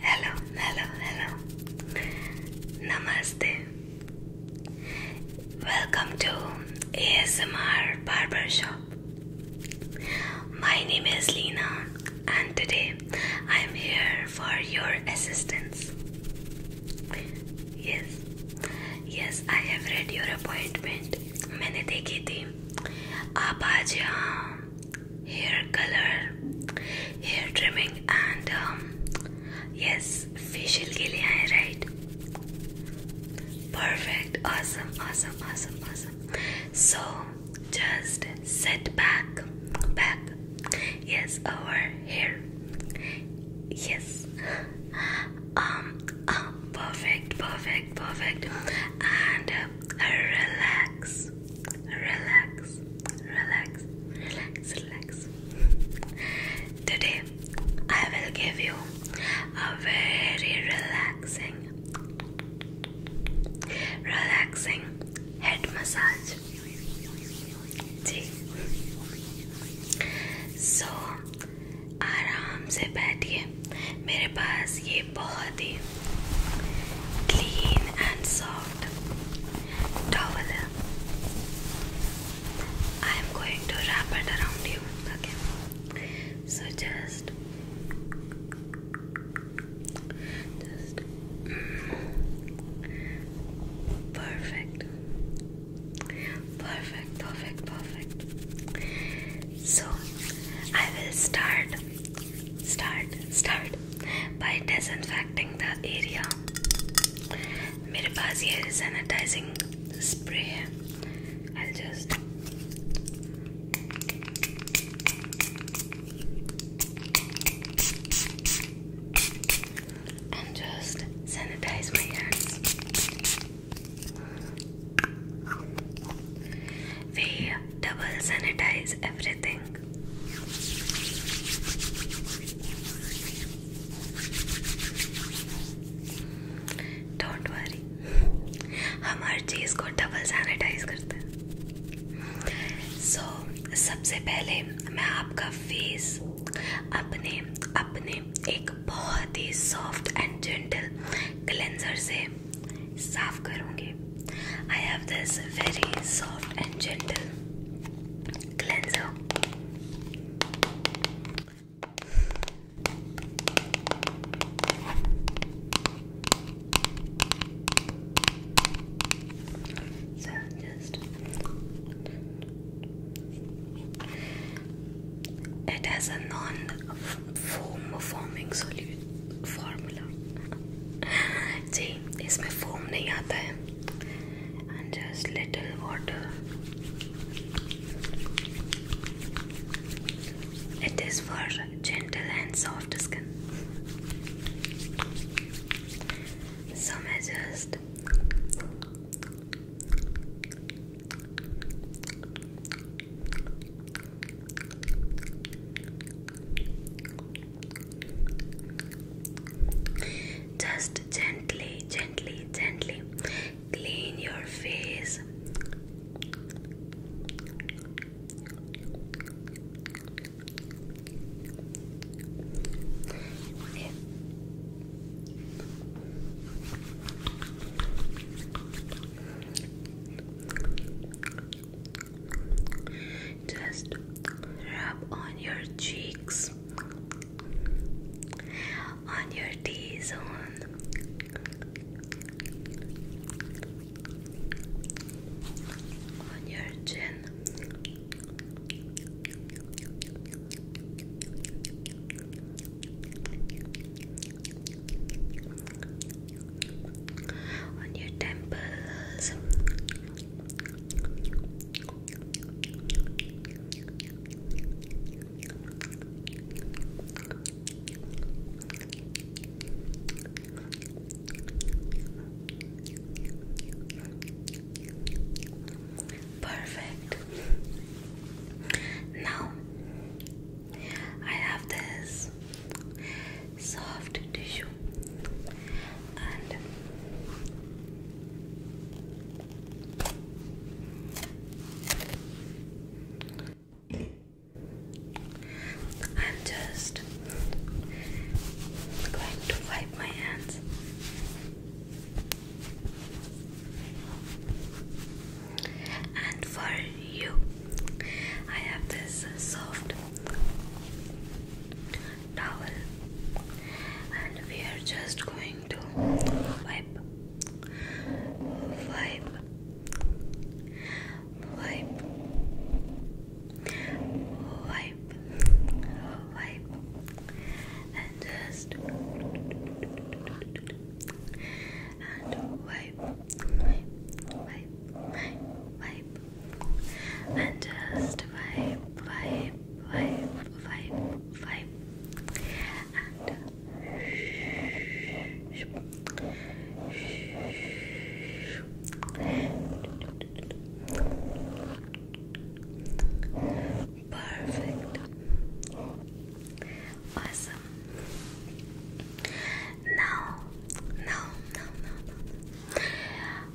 Hello, hello, hello. Namaste. Welcome to ASMR Barber Shop. My name is Lena, and today I am here for your assistance. Yes, yes, I have read your appointment. मैंने देखी थी. आप आज यहाँ hair color, hair trimming, and um, yes, facial के लिए right? Perfect, awesome, awesome, awesome, awesome. So just sit back, back. Yes, our hair. Yes. Um. um perfect. Perfect. Perfect. And uh, relax relax, relax, relax, relax. Today, I will give you a very relaxing, relaxing head massage. So, आराम से बैठिए मेरे पास ये ये बहुत ही clean and soft towel है I am going to wrap it around you okay so just just perfect perfect perfect perfect so i will start Start, start by disinfecting the area. मेरे पास ये sanitizing spray है. I'll just and just sanitize my hands. We double sanitize everything. हम हर चीज को double sanitize करते so सबसे पहले मैं आपका फेस अपने अपने एक बहुत ही सॉफ्ट एंड जेंटल क्लेंजर से साफ करूंगी I have this very soft and gentle cleanser. So just it has a non-foam forming solute formula. जी इसमें फोम नहीं आता है and just little water it is for gentle and soft skin so मैं just just gently, gently, gently clean your face. Just rub on your cheeks, on your T zone. On your chin, on your temples. Perfect. Now I have this soft tissue and I'm just going to wipe my hands. And for you, I have this soft towel and we are just going to wipe wipe wipe wipe wipe and just and wipe wipe wipe wipe wipe and just vibe, vibe, vibe, vibe, vibe, and perfect, awesome. Now, now, now, now, now.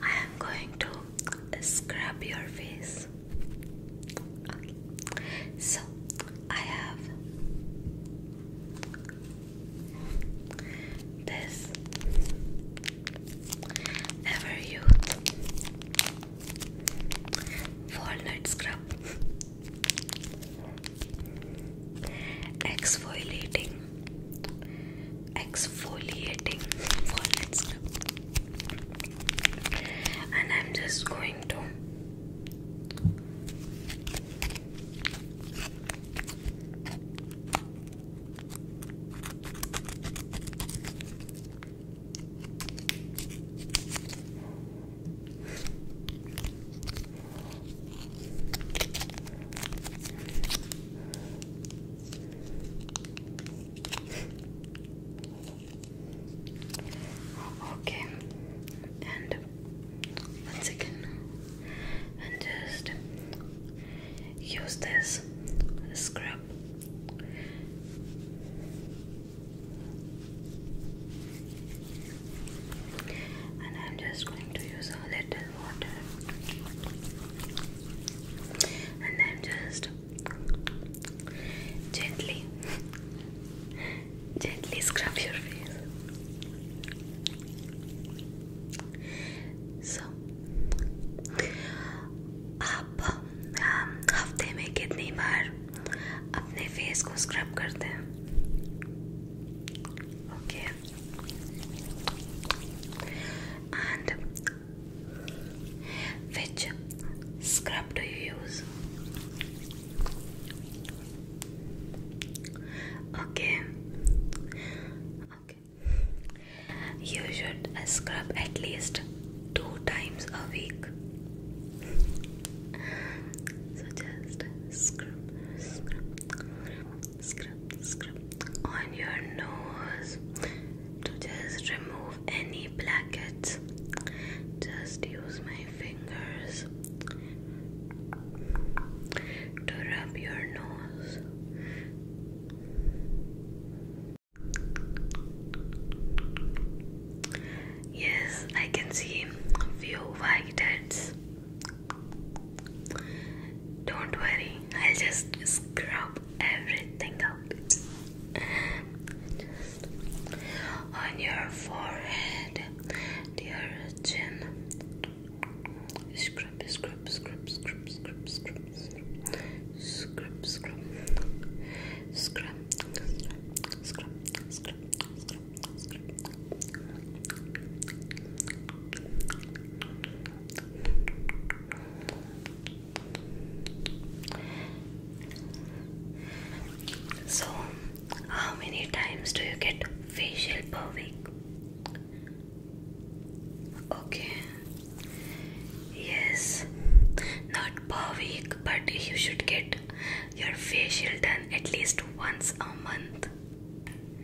I am going to scrub your face. So I have this ever youth walnut scrub exfoliating exfoliating wallets and I'm just going to okay, and once and just use this scrub. And I'm just going to use a little water and then just gently gently scrub your face so आप हफ्ते में कितनी बार अपने face को scrub करते हैं okay And which scrub do you use? Okay. Okay. You should scrub at least two times a week. so just scrub, scrub, scrub on your nose to just remove any blackheads. Just use my fingers to rub your nose. Yes, I can see a few white heads don't worry, I'll just scrub everything out. on your forehead, your chin. Scrub, scrub, scrub, scrub, scrub, scrub, scrub, scrub, scrub, scrub, scrub, scrub, scrub, scrub, scrub. So, how many times do you get facial per week? Okay, yes, not per week, but you should get your facial done at least once a month.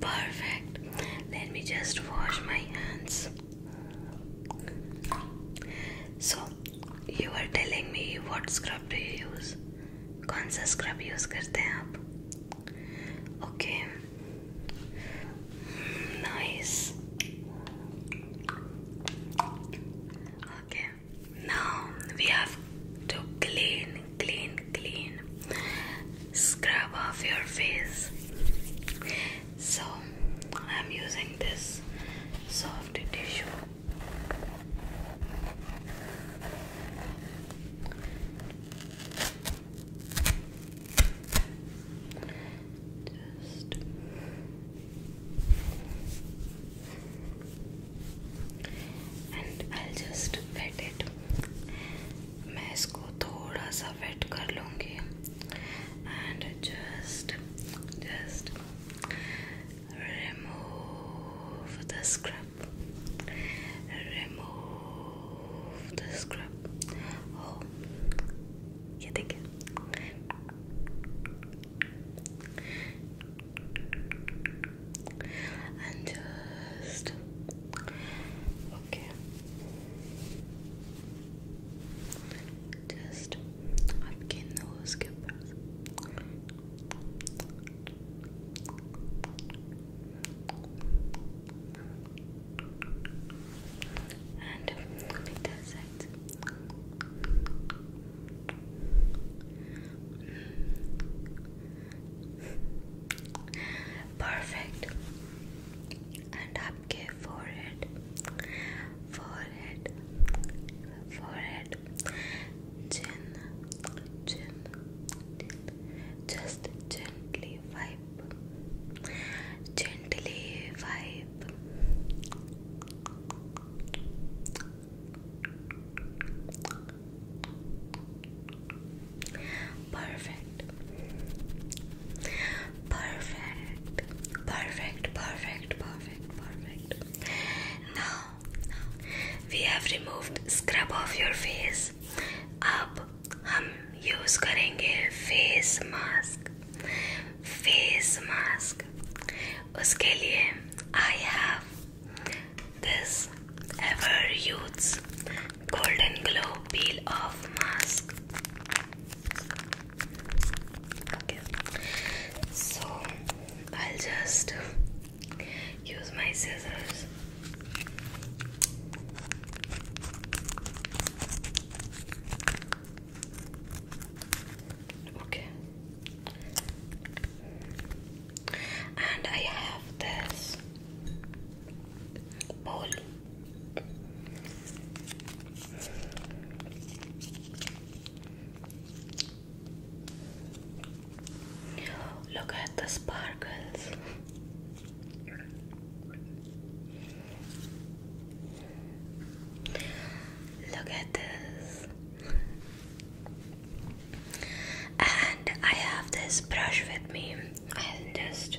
Perfect. Let me just wash my hands. So, you are telling me what scrub do you use? कौन scrub scrub use करते हैं आप okay nice okay now we have to clean, clean, Scrub off your face. So, I'm using this soft tissue. Just and I'll just wet it मैं इसको थोड़ा सा wet कर लूँगी and just just remove the scrub remove the scrub oh ये देखिए and just okay Just आपके nose के ऊपर and like that perfect and आपके forehead forehead forehead chin chin just gently wipe gently wipe Perfect. Perfect. Perfect. Perfect. Perfect. Perfect. Now, we have removed scrub off your face. अब हम use करेंगे face mask. Face mask. उसके लिए I have this ever used Golden Glow Peel Off Mask. so I'll just use my scissors. Okay, and I have this bowl. Look at the sparkles. Look at this. And I have this brush with me. I'll just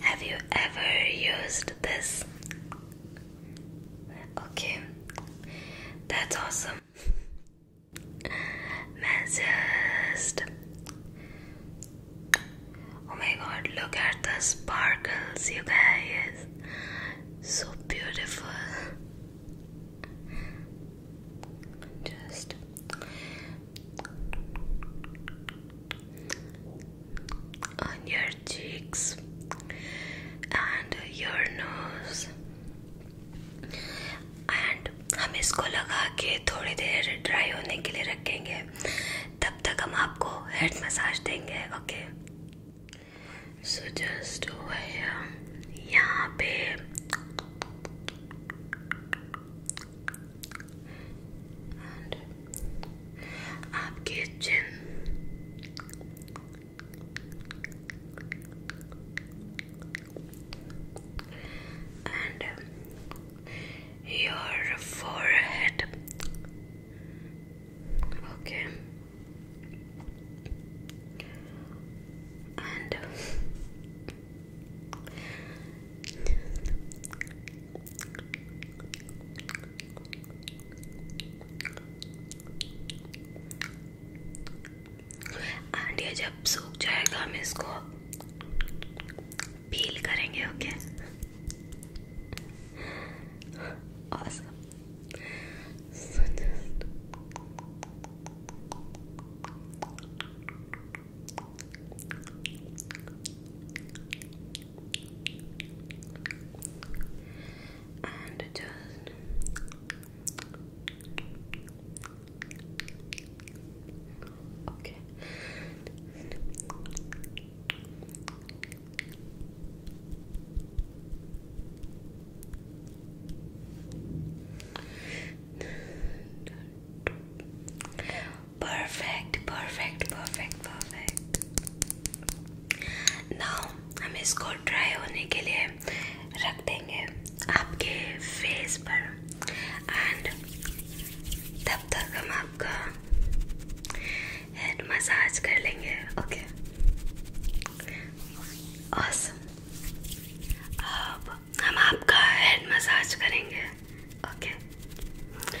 Have you ever used this? Okay, that's awesome. Massaged. Oh my god, look at the sparkles, you guys. So beautiful. Just on your cheeks and your nose and हम इसको लगा के थोड़ी देर dry होने के लिए रखेंगे तब तक हम आपको हेड मसाज देंगे ओके सो जस्ट यहाँ पे and up kitchen um, your forehead okay and um, aunty जब सूख जाएगा हम इसको पील करेंगे okay awesome. so just... and just okay. Perfect perfect perfect perfect now हम इसको ड्राई होने के लिए रख देंगे आपके फेस पर एंड तब तक हम आपका हेड मसाज कर लेंगे ओके awesome. अब हम आपका हेड मसाज करेंगे ओके okay.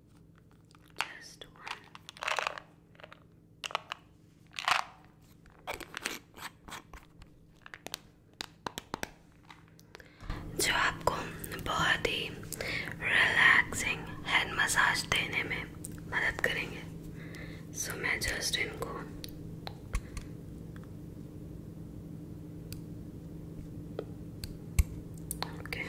Test one जो आपको बहुत ही रिलैक्सिंग हेड मसाज देने में मदद करेंगे सो so, मैं जस्ट इनको ओके okay.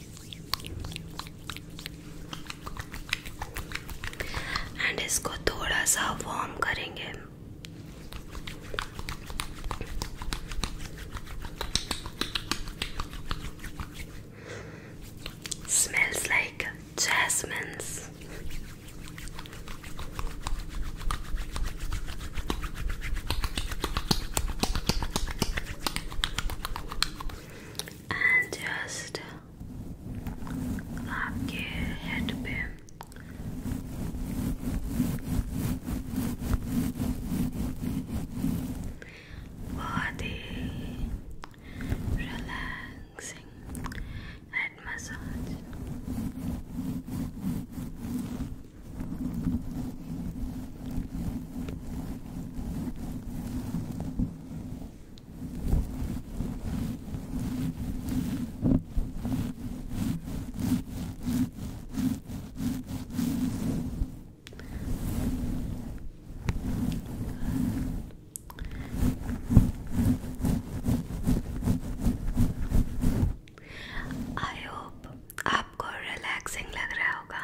And इसको थोड़ा सा वार्म करेंगे smells like jasmines and just आपके हेड पे बहुत ही relaxing head massage I hope आपको रिलैक्सिंग लग रहा होगा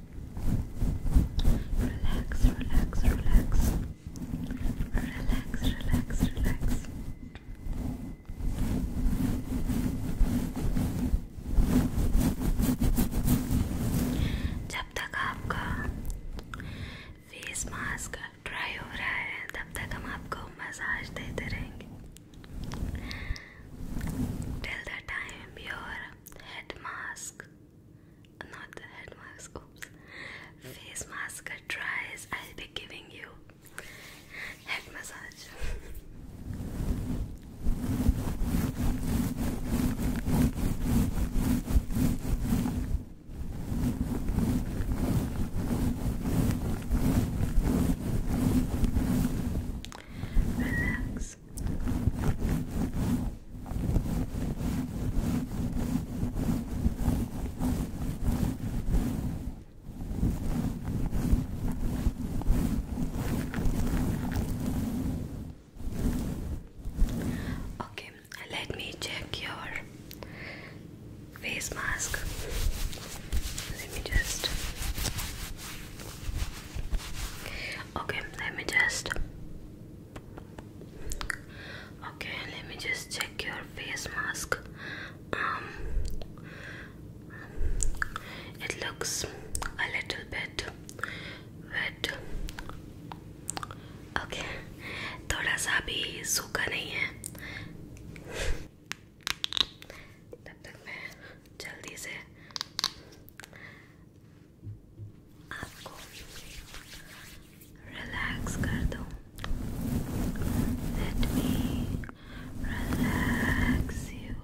Relax, relax, relax. Relax, relax, relax. जब तक आपका फेस मास्क ड्राई हो रहा है तब तक हम आपको मसाज देते रहेंगे Till the time your head mask not the head mask, oops. Face mask tries, I'll be giving you head massage. Relax. Okay, let me check your face mask. Let me just. Okay, let me just Okay, let me just check your face mask. Um, it looks a little bit wet. Okay, थोड़ा सा भी सूखा नहीं है. तब तक मैं जल्दी से आपको relax Relax, relax, relax, relax,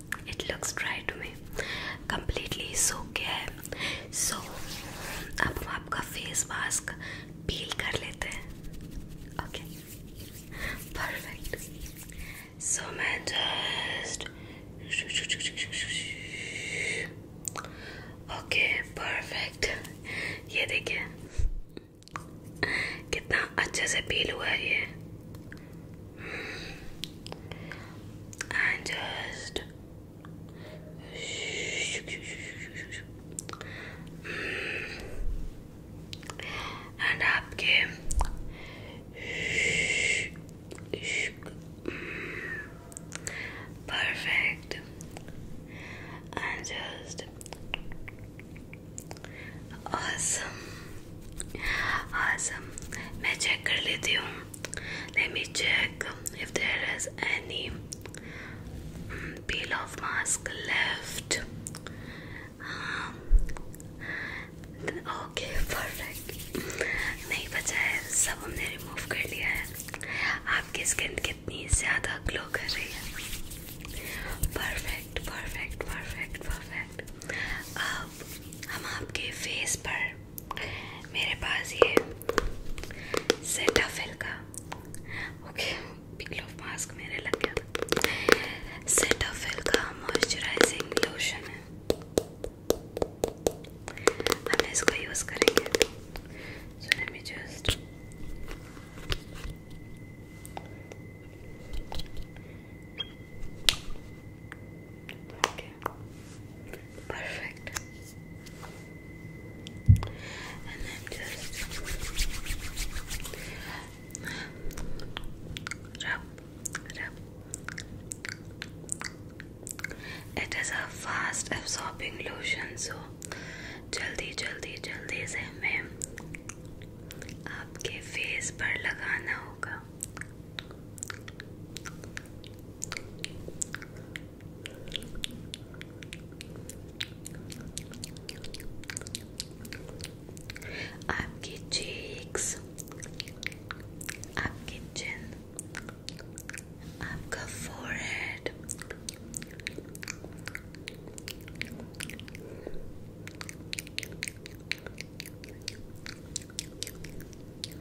it looks dry to me completely सूख गया है so अब हम आपका face mask peel कर लेते हैं okay perfect so मैं just ओके परफेक्ट ये देखिए कितना अच्छे से पील हुआ है ये and just and आपके perfect and just awesome awesome मैं चेक कर लेती हूँ let me check if there is any mm, peel off mask left um, okay perfect नहीं बचा है सब हमने रिमूव कर लिया है आपकी स्किन कितनी ज़्यादा ग्लो कर रही है परफेक्ट परफेक्ट परफेक्ट परफेक्ट अब हम आपके फेस पर मेरे पास ये सेटाफिल का ओके पिकल ऑफ मास्क मेरे लग गया था सेटाफिल का मॉइस्चराइजिंग लोशन है हम इसको यूज़ करेंगे so let me just Okay. perfect. And then just rub, rub. It is a fast absorbing lotion, so जल्दी जल्दी जल्दी से हमें आपके फेस पर लगाना होगा आपकी cheeks, आपकी chin, आपका forehead,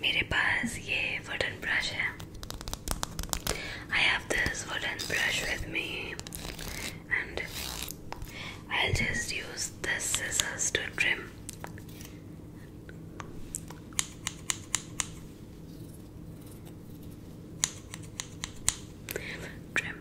मेरे पास ये वुडन ब्रश है I have this wooden brush with me and I will just use this scissors to trim trim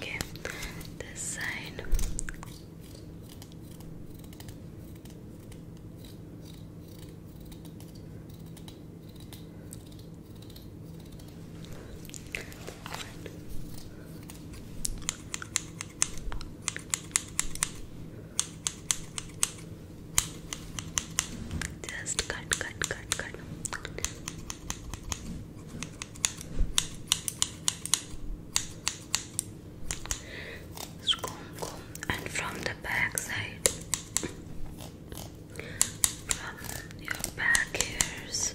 Okay, this side. Just cut, cut, cut, cut. Just comb, and from the back from your back hairs.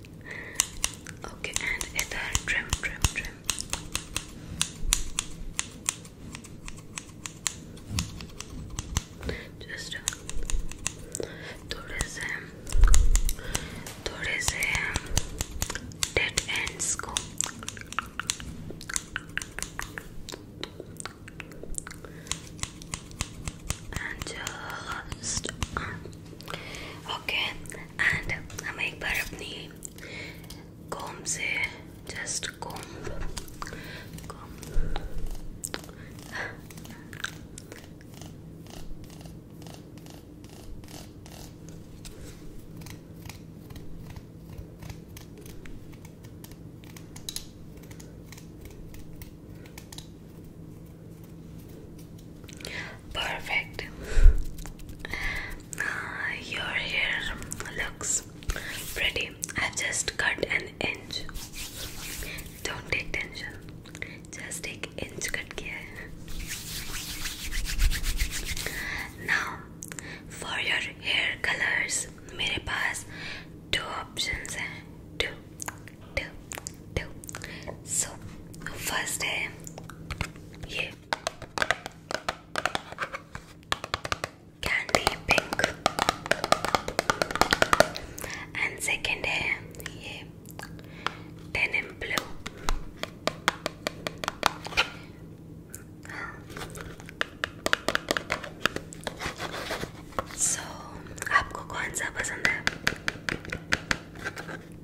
Okay, and either trim, trim, trim. Just थोड़े से थोड़े से dead ends को and just uh, okay and हम एक बार अपनी comb से just com comb Perfect. Uh, your hair looks pretty. I've just cut an inch. Don't take tension. Just take inch cut kiya hai. Now for your hair colors, मेरे पास two options हैं. Two. two, two. So first है ये candy pink and second है ये denim blue. So आपको कौन सा पसंद है?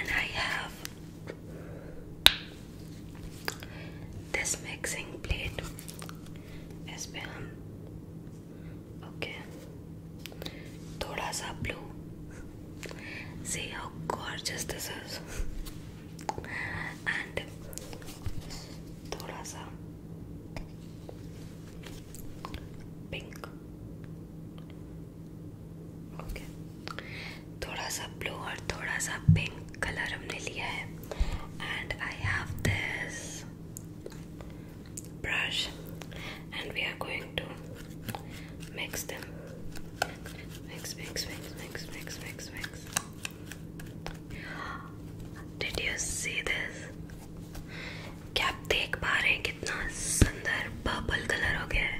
And I have this mixing plate. Is okay. थोड़ा सा blue see how gorgeous this is and थोड़ा सा पिंक ओके थोड़ा सा ब्लू और थोड़ा सा पिंक कलर हमने लिया है and I have this brush and we are going going to mix them. Mix, mix, mix, mix, mix, mix, mix. Did you see this? क्या आप देख पा रहे हैं कितना सुंदर पर्पल कलर हो गया है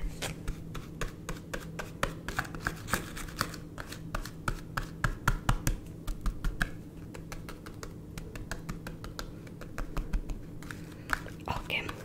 ओके okay.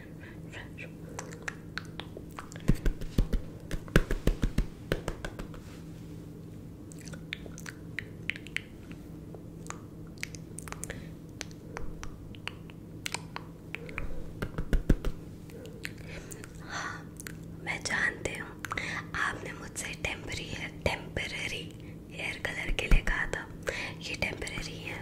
fresh. हाँ मैं जानती हूँ आपने मुझसे टेम्परी है टेम्पररी हेयर कलर के लिए कहा था ये टेम्पररी है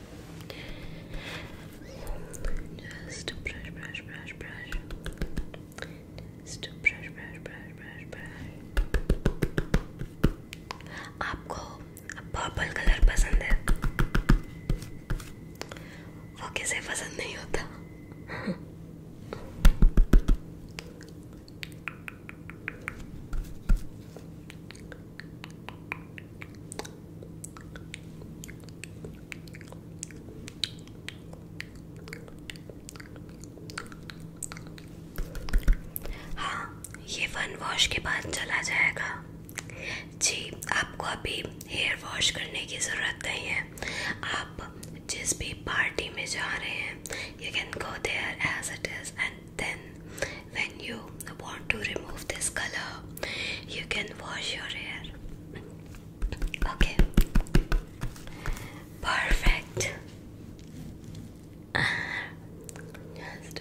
Just brush, brush, brush, brush. Just brush, brush, brush, brush, brush. आपको पर्पल कलर पसंद है वो किसे पसंद नहीं होता हाँ ये फन वॉश के बाद चला जाएगा जी आपको अभी हेयर वॉश करने की ज़रूरत नहीं है आप जिस भी पार्टी में जा रहे हैं you can go there as it is and then when you I want to remove this color, you can wash your hair. Okay, perfect. Just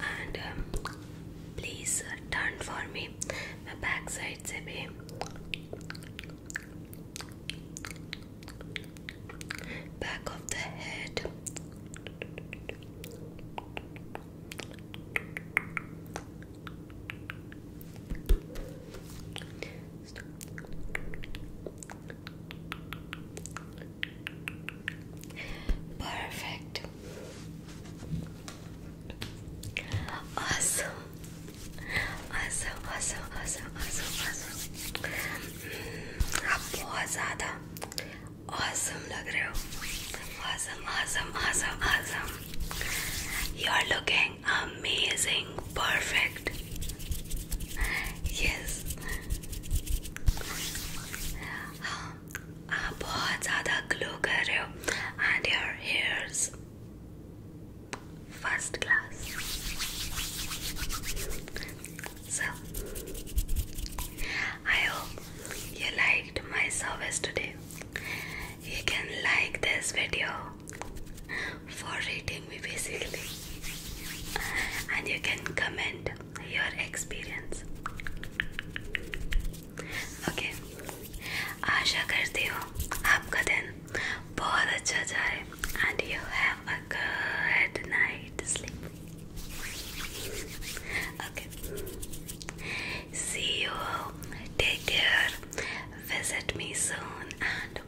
and um, please uh, turn for me my back side se back of the head Perfect. Awesome. Awesome, awesome, awesome, awesome, awesome. Hmm, आप बहुत ज़्यादा awesome लग रहे हो. Awesome, awesome, awesome, awesome. You're looking amazing, perfect. Yes, आप बहुत ज़्यादा glow कर रहे हो and your hairs first class so I hope you liked my service today. You can like this video for rating me basically and you can comment your experience. Okay, आशा करती हूँ आपका and you have a good night sleep. Okay, see you. Take care. Visit me soon and